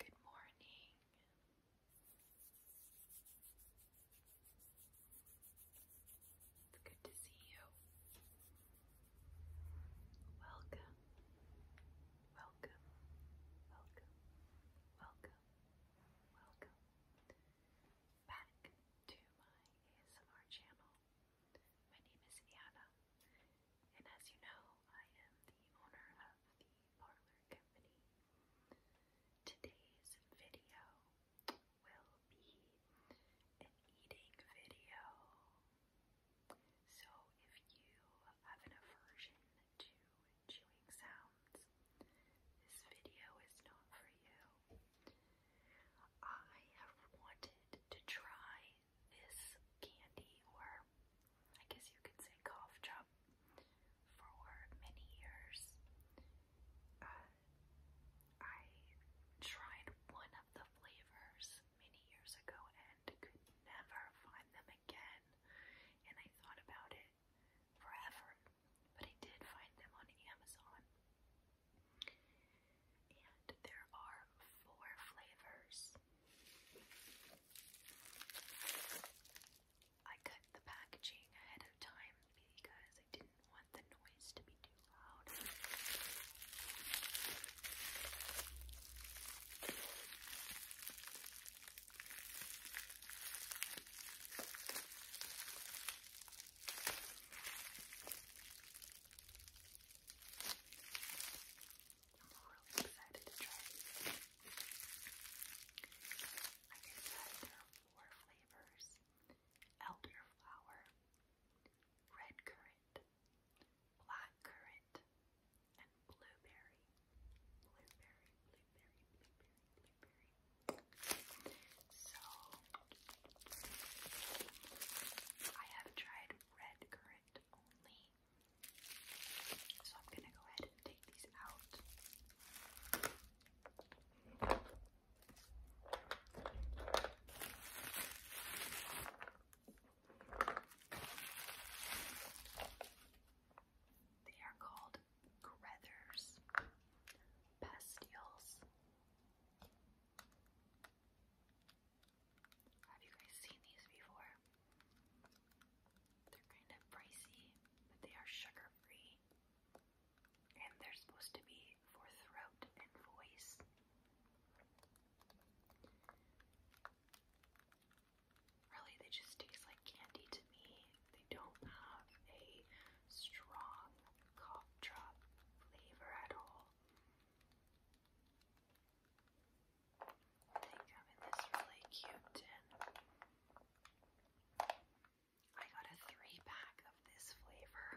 Good morning. It's good to see you. Welcome. Welcome. Welcome. Welcome. Welcome. Back to my ASMR channel. My name is Anna, and as you know, I am the owner of the Parlor Company. Today's video will be an eating video. So if you have an aversion to chewing sounds, this video is not for you. I have wanted to try this candy, or I guess you could say cough drop, for many years. Uh, I tried one of the flavors many years ago and could never find them again, and I thought about it forever, but I did find them on Amazon. And there are four flavors. I cut the packaging ahead of time because I didn't want the noise to be too loud. I'm really excited to try these. Like I said, there are four flavors. Elderflower, red currant, black currant, blueberry. Blueberry, blueberry, blueberry, blueberry. So I have tried red currant only. So I'm gonna go ahead and take these out. They are called Grethers, Pastilles, have you guys seen these before? They're kind of pricey, but they are sugar free. And they're supposed to be for throat and voice. Really, they just taste like candy to me. They don't have a strong cough flavor at all. I think in this really cute tin. I got a three pack of this flavor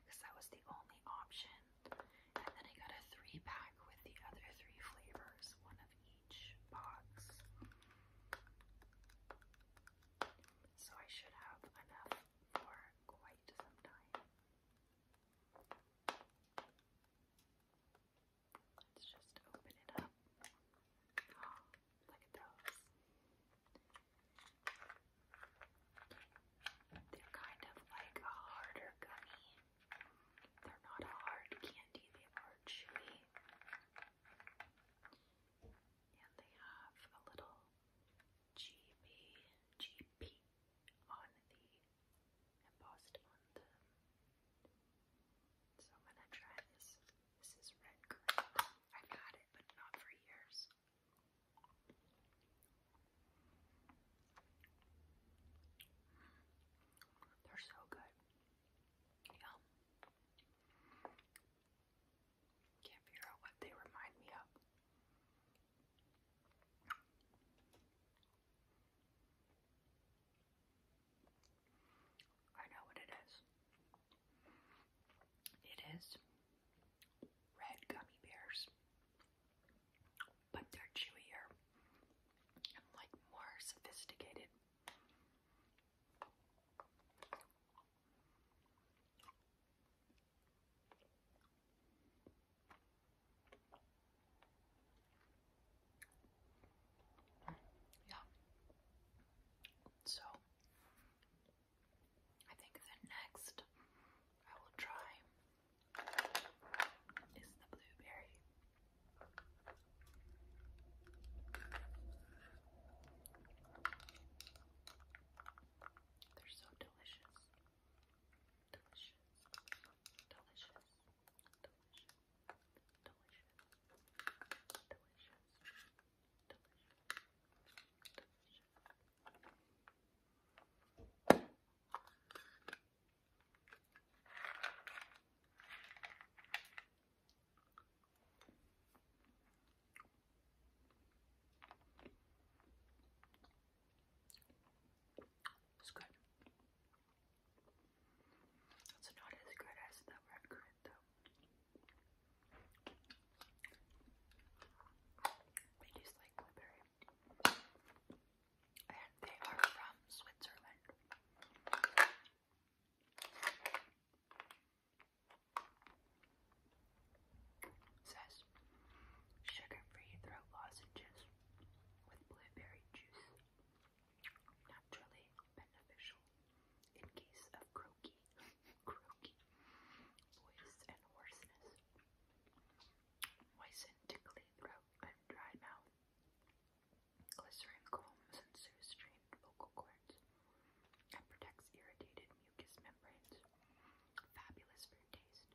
because that was the only option. And then I got a three pack with the other three flavors, one of each box. So I should have enough for quite some time. Let's just open it up. Oh, look at those. They're kind of like a harder gummy. They're not a hard candy, they are chewy and they have a little GB, on the embossed on them. So I'm gonna try this. This is red I've had it, but not for years. They're so good. Yum. Can't figure out what they remind me of. I know what it is. It is red gummy bears, but they're chewier and like more sophisticated. Yeah. So I think the next I will try is the blueberry. They're so delicious. Delicious. Delicious. Delicious. Delicious. Delicious. Delicious. Delicious. It's good. It's not as good as the red currant though. They taste like blueberry. And they are from Switzerland. Says sugar-free throat lozenges with blueberry juice, naturally beneficial in case of croaky, croaky voice and hoarseness. Moisten tickly throat and dry mouth. Glycerin combs and soothes strained vocal cords and protects irritated mucous membranes. Fabulous for taste,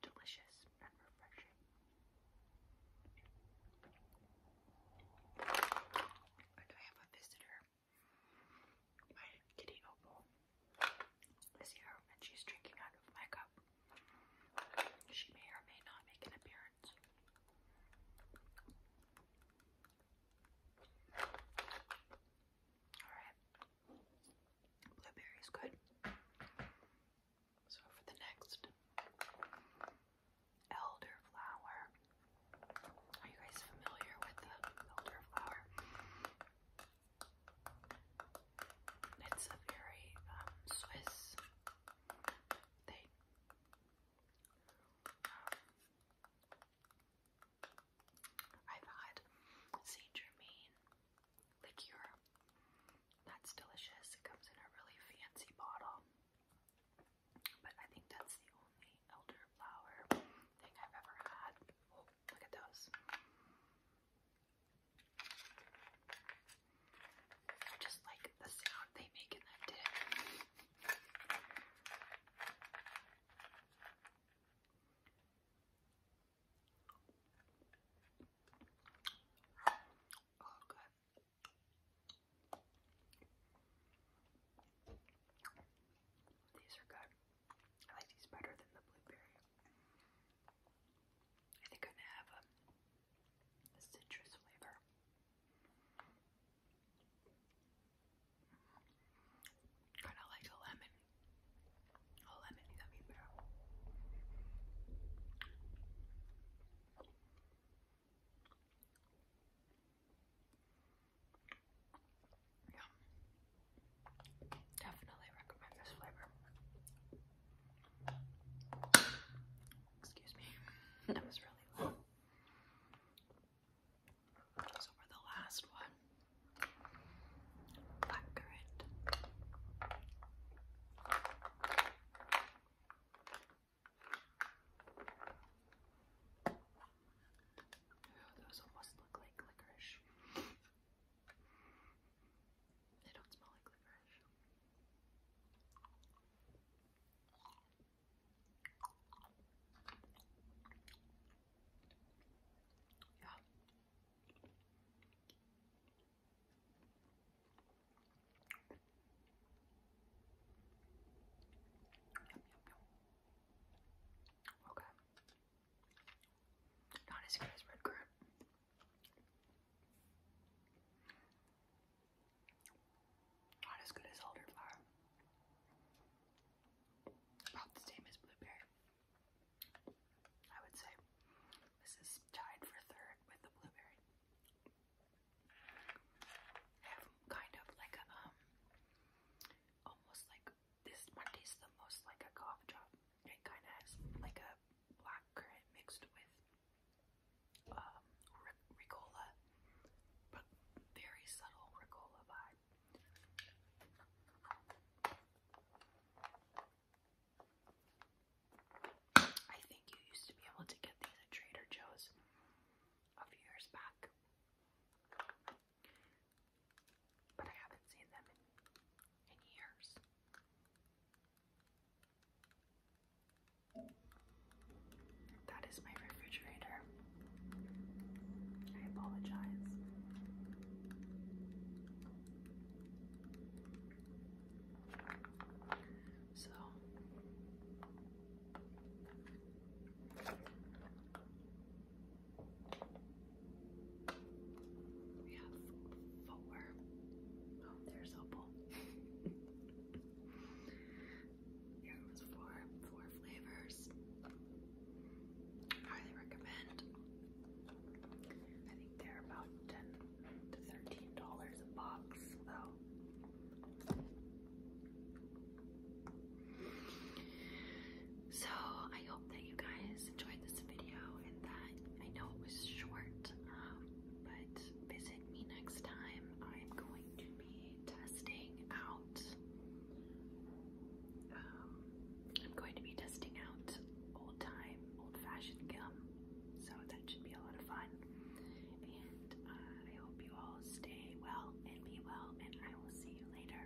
delicious and refreshing. And I have a visitor. My kitty Opal is here and she's drinking out of my cup. She may or may not make an appearance. Alright. Blueberry is good. So for the next elderflower. Are you guys familiar with the elderflower? It's a very um, Swiss thing. I've had Saint Germain liqueur. That's delicious. It comes in a really fancy bottle. But I think that's the only elderflower thing I've ever had. Oh, look at those. I just like the sound they make in that dip. Oh, these are good. I like these better than the blueberry. I think I'm gonna have a citrus flavor. Kind of like a lemon. A lemon gummy bear. Yeah. Definitely recommend this flavor. Excuse me. That was really low. So for the last one, blackcurrant. Those almost look like licorice. They don't smell like licorice. Yeah. Yum, yum, yum. Okay. Not as good as red currant. Not as good as elderflower. About the same as blueberry. I would say this is tied for third with the blueberry. have kind of like a, um, almost like this one tastes the most like a cough drop. It kind of has like a black currant mixed with um, Ricola, but very subtle Ricola vibe. I think you used to be able to get these at Trader Joe's a few years back, but I haven't seen them in years. That is my refrigerator. I apologize. So we have four. Oh, there's Opal. there was four, four flavors. Highly recommend. I think they're about ten to thirteen dollars a box, though. So I hope that you guys enjoyed this video and that I know it was short, um, but visit me next time. I'm going to be testing out. Um, I'm going to be testing out old time, old fashioned gum. So that should be a lot of fun. And uh, I hope you all stay well and be well, and I will see you later.